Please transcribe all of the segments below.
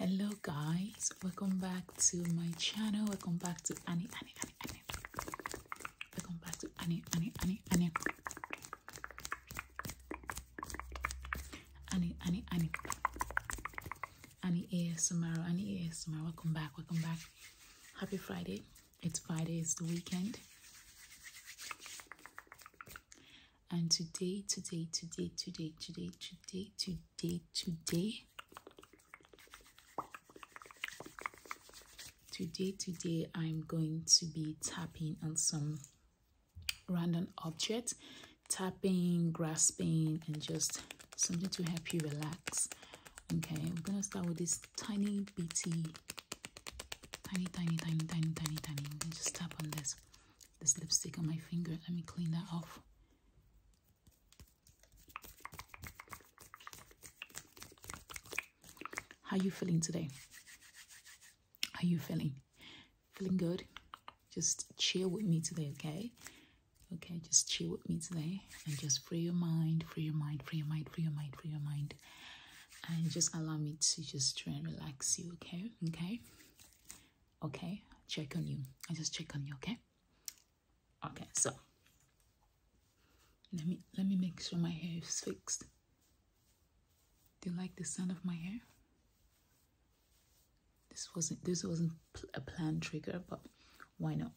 hello guys welcome back to my channel welcome back to annie annie annie annie welcome back to annie annie annie annie annie annie annie annie asmr annie asmr welcome back welcome back happy friday it's friday it's the weekend and today, today, today, today, today, today, today, today, today, today, I'm going to be tapping on some random object, tapping, grasping, and just something to help you relax. Okay, we're gonna start with this tiny bitty, tiny, tiny, tiny, tiny, tiny, tiny. I'm gonna just tap on this. This lipstick on my finger. Let me clean that off. How you feeling today? Are you feeling? Feeling good? Just chill with me today, okay? Okay, just chill with me today and just free your mind, free your mind, free your mind, free your mind, free your mind and just allow me to just try and relax you, okay? Okay, okay, check on you. I just check on you, okay? Okay, so let me let me make sure my hair is fixed. Do you like the sound of my hair? This wasn't this wasn't a planned trigger, but why not?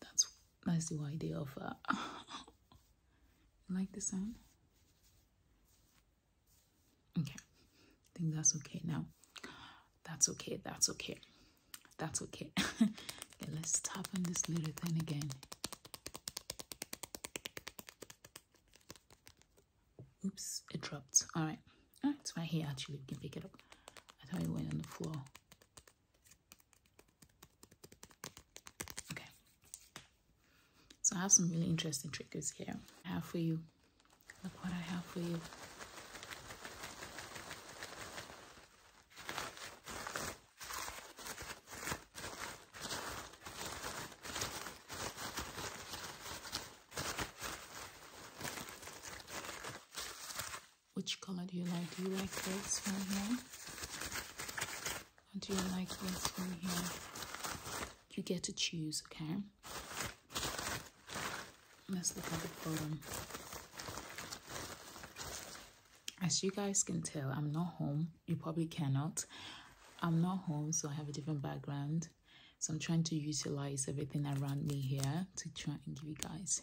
That's that's the idea of uh, like the sound. Okay, I think that's okay now. That's okay, that's okay, that's okay. let's tap on this little thing again. Oops, it dropped. All right, oh, it's right here actually. we can pick it up. I thought it went on the floor. Okay. So I have some really interesting triggers here. I have for you. Look what I have for you. Which color do you like? Do you like this one here? Do you like this one here. You get to choose, okay? Let's look at the bottom. As you guys can tell, I'm not home. You probably cannot. I'm not home, so I have a different background. So I'm trying to utilize everything around me here to try and give you guys.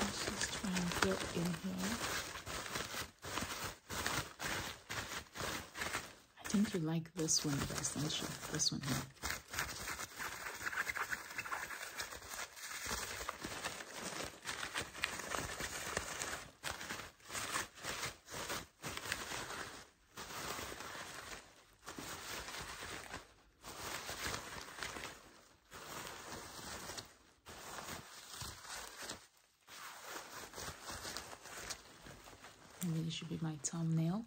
Let's just try and get in here. I think you like this one best, don't you? This one here. And this should be my thumbnail.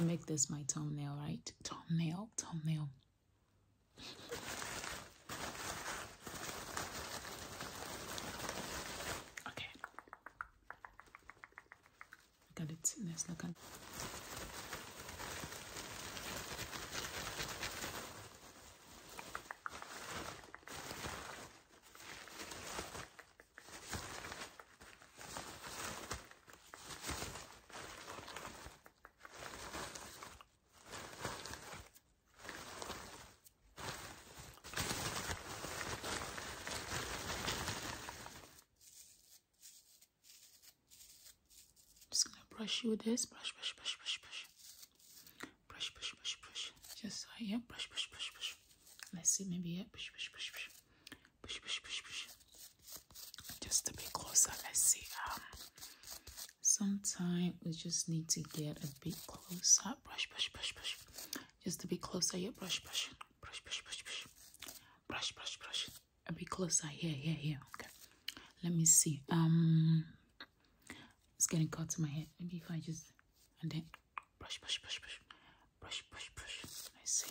make this my thumbnail, right? Thumbnail, thumbnail. Okay. Look at the thickness. Look at just gonna brush you with this. Brush, brush, brush, brush, brush. Brush, brush, brush, brush. Just right here. Brush, brush, brush, brush. Let's see, maybe here. Brush, brush, brush, brush. Brush, brush, brush, brush. Just a bit closer. Let's see. Um, sometimes we just need to get a bit closer brush brush brush brush just a bit closer here brush brush brush brush brush brush brush brush brush a bit closer here here here okay let me see um it's getting caught to my head maybe if i just and then brush brush brush brush brush brush brush i see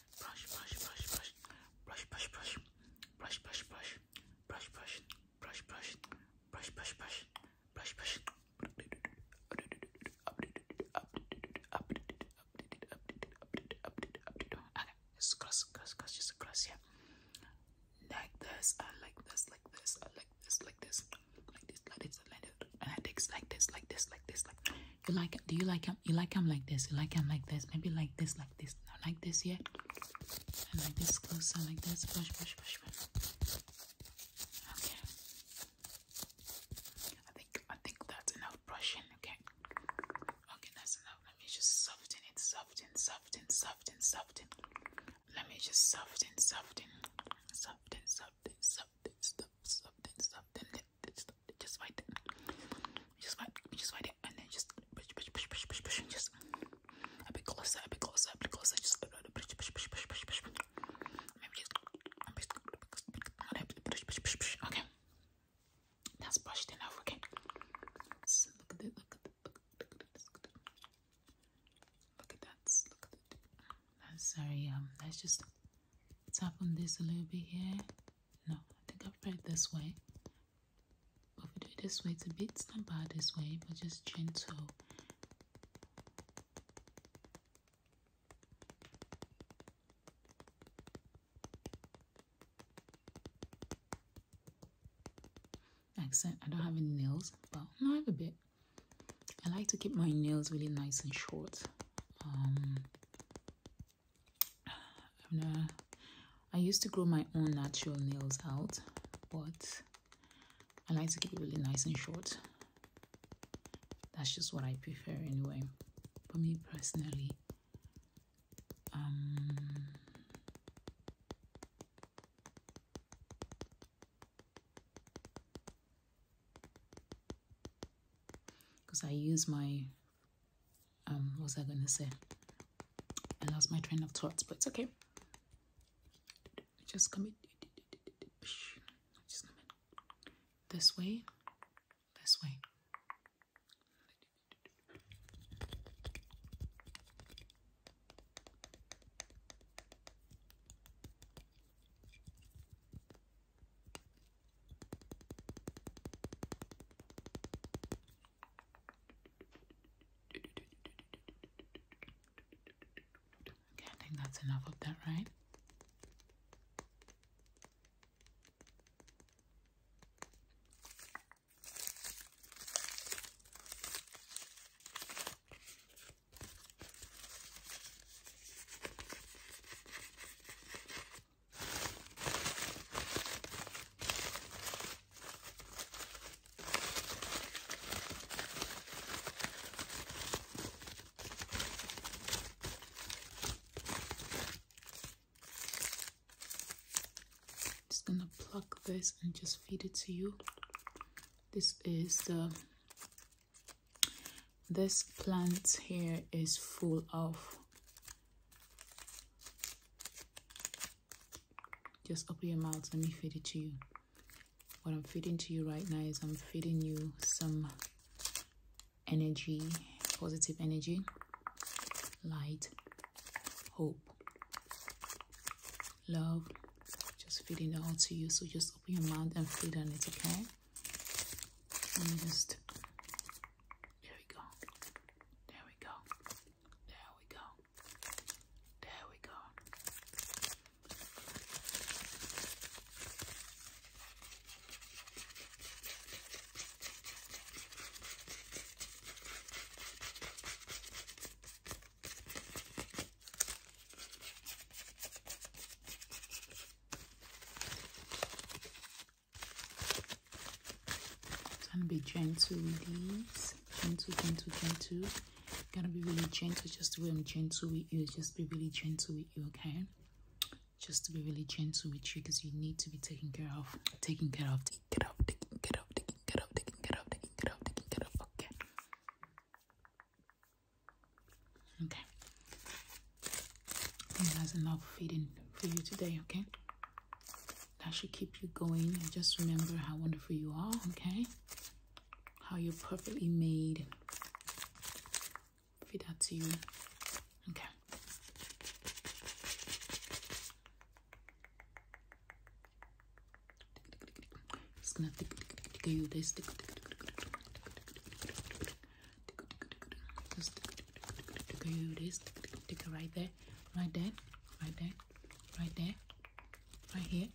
brush, brush, brush, brush, brush, brush, brush, brush, brush, brush, brush, brush, brush, brush, brush, brush, brush, brush, brush. Okay, just cross, cross, cross, just cross, yeah. Like this, I uh, like this, like this, uh, I like this, like this, like this, like this, like this, and I take like this, like this, like this, like you like do you like him? You like him like this, you like him like this, maybe like this, like this, now like this, yeah. And like this closer, like this, push, push, push, push. Okay. I think I think that's enough brushing, okay. Okay, that's enough. Let me just soften it, soften, soften, soften, soften. Let me just soften, soften, soften, soften, soften, soften, soften, soften that. Just, just fight that. Just fight, just fight it, and then just push, push, push, push, push, push, and just a bit closer, a bit closer, a bit closer. Just push, push, push, push, push, push. Maybe just push, push, push, push. Okay, that's brushed enough. Okay. So look at this. Look at this. Look at this. Look at that. Look at that. I'm sorry. Um, let's just tap on this a little bit here. No, I think I've read this way. if we do it this way, it's a bit, it's bad this way, but just gentle. Accent, I don't have any nails, but I have a bit. I like to keep my nails really nice and short. Um, i used to grow my own natural nails out, but I like to keep it really nice and short. That's just what I prefer anyway. For me personally, um, because I use my um what was I gonna say? I lost my train of thoughts, but it's okay. Just come just come in this way, this way. I think that's enough of that, right? Just gonna pluck this and just feed it to you. This is the this plant here is full of just open your mouth let me feed it to you what i'm feeding to you right now is i'm feeding you some energy positive energy light hope love just feeding it all to you so just open your mouth and feed on it okay let me just. There we go. There we go. There we go. There we go going to be gentle with these. Gentle, gentle, gentle. Gonna be really gentle, just the way I'm gentle with you. Just be really gentle with you, okay? Just to be really gentle with you because you need to be taken care of. Taken care of, taken care of, taken care of, taken care of, taken care of, taken care of, taken care of, okay? Okay. that's enough feeding for you today, okay? That should keep you going. And just remember how wonderful you are, okay? How you're perfectly made. Feed that to you. Okay. It's gonna tick this tick this right there, right there, right there, right there, right here,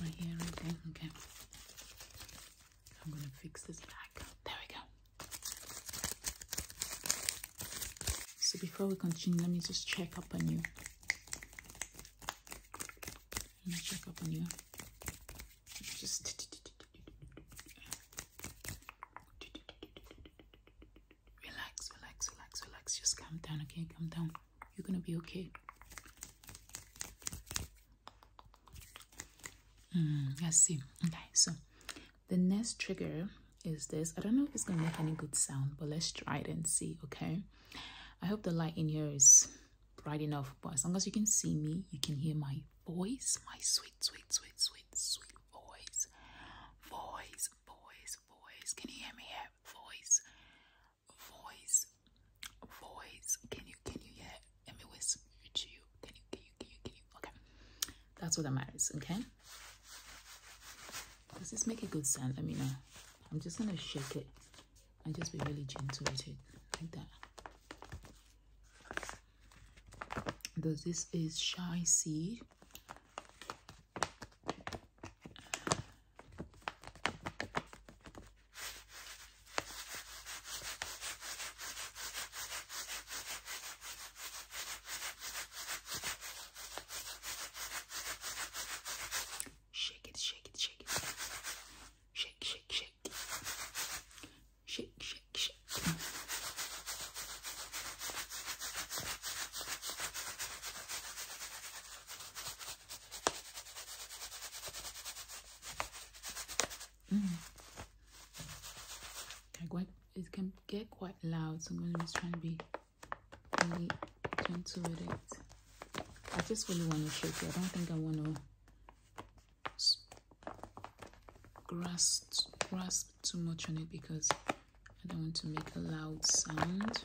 right here, right there. Okay. I'm gonna fix this back. There we go. So before we continue, let me just check up on you and I check up on you. Just relax, relax, relax, relax. Just calm down, okay? Calm down. You're gonna be okay. Mm, I see. Okay, so the next trigger is this. I don't know if it's gonna make any good sound, but let's try it and see, okay? I hope the light in here is bright enough but as long as you can see me you can hear my voice my sweet sweet sweet sweet sweet voice voice voice voice can you hear me here voice voice voice can you can you hear let me whisper to you can you can you can you can you okay that's what that matters okay does this make a good sound let me know i'm just gonna shake it and just be really gentle with it like that. Does this is shy seed. Shake it, shake it, shake it. Shake, shake, shake. Shake, shake, shake. Mm. Can quite, it can get quite loud, so I'm just trying to be really gentle with it. I just really want to shake it. I don't think I want to grasp grasp too much on it because I don't want to make a loud sound.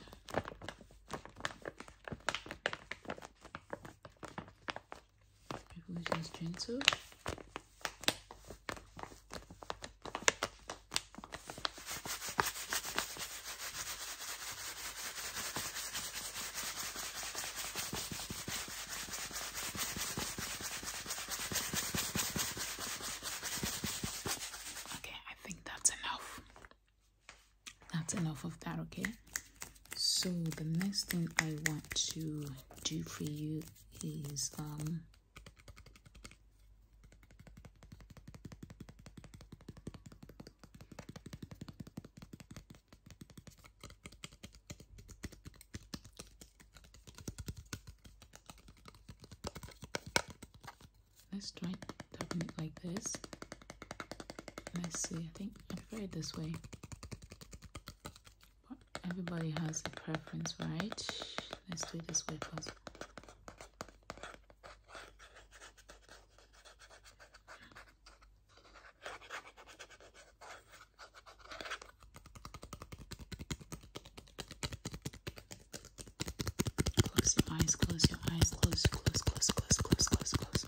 People just gentle. Okay, I think that's enough. That's enough of that, okay? So, the next thing I want to do for you is um Let's try tapping it like this. Let's see, I think I prefer it this way. But everybody has a preference, right? Let's do it this way first. Close your eyes, close your eyes, close, close, close, close, close, close, close.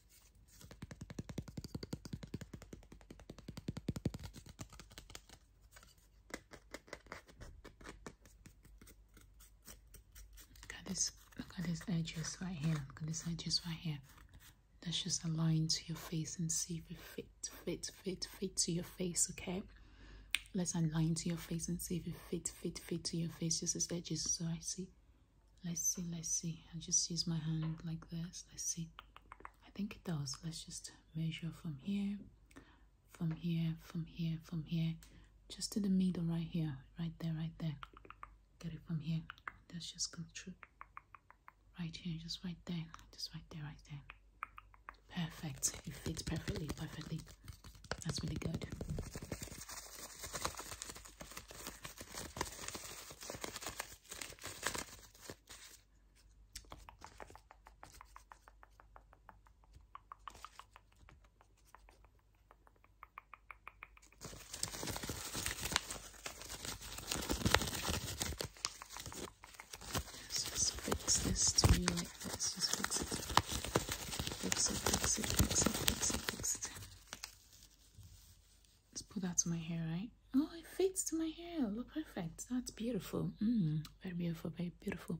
Look at this, look at these edges right here. Look at these edges right here. That's just align to your face and see if it fit, fit, fit, fit to your face, okay? Let's align to your face and see if it fit, fit, fit to your face. Just these edges. So I see Let's see, let's see. I'll just use my hand like this. Let's see. I think it does. Let's just measure from here, from here, from here, from here, just to the middle right here, right there, right there. Get it from here. That's just come through. Right here, just right there, just right there, right there. Perfect. It fits perfectly, perfectly. That's really good. Let's just fix this to you like this. Just fix it. Fix it, fix it, fix it, fix it, fix it. Let's put that to my hair, right? Oh, it fits to my hair. Look perfect. That's beautiful. Mm, very beautiful, very beautiful.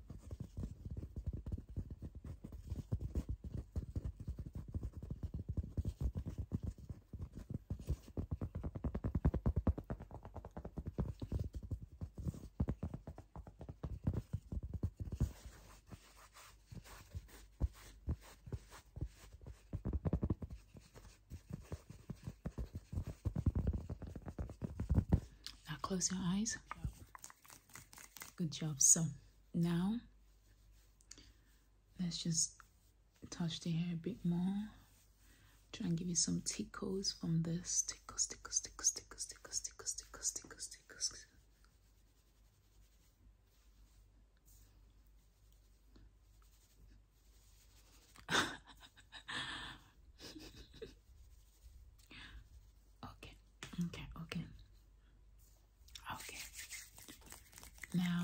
Now close your eyes good job so now let's just touch the hair a bit more try and give you some tickles from this tickles tickles tickles tickles tickles tickles tickles tickles tickles Okay, okay, okay. Okay. Now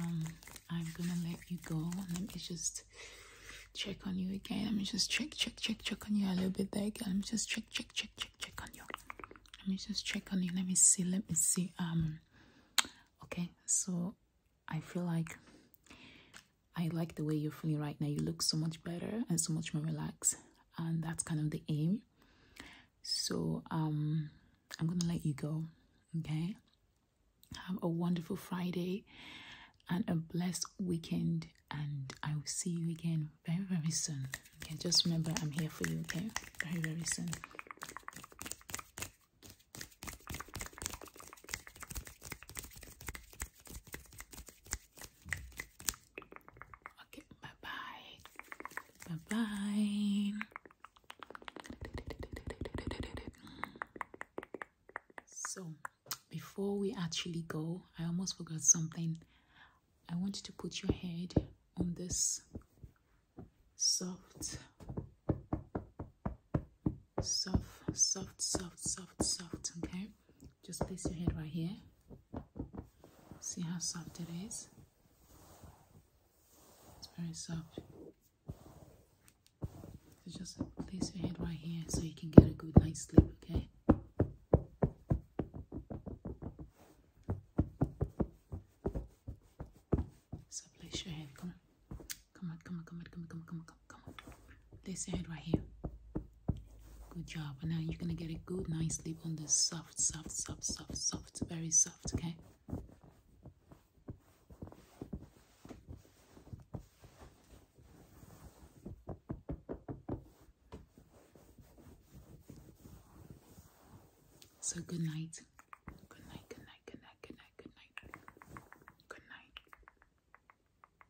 I'm gonna let you go. Let me just check on you again. Let me just check, check, check, check on you a little bit there Let me just check, check, check, check, check on you. Let me just check on you. Let me see. Let me see. Um. Okay. So I feel like I like the way you're feeling right now. You look so much better and so much more relaxed and that's kind of the aim so um i'm gonna let you go okay have a wonderful friday and a blessed weekend and i will see you again very very soon okay just remember i'm here for you okay very very soon Okay, bye bye. Bye bye. So, before we actually go, I almost forgot something. I want you to put your head on this soft, soft, soft, soft, soft, soft, okay? just place your head right here see how soft it is it's very soft so just place your head right here so you can get a good night's sleep okay so place your head come on come on come on come on come on come on come on come on. Place your hand right here. Good job. And now you're gonna get a good night's sleep on the soft, soft, soft, soft, soft, very soft, okay? So good night. Good night, good night, good night, good night, good night. Good night.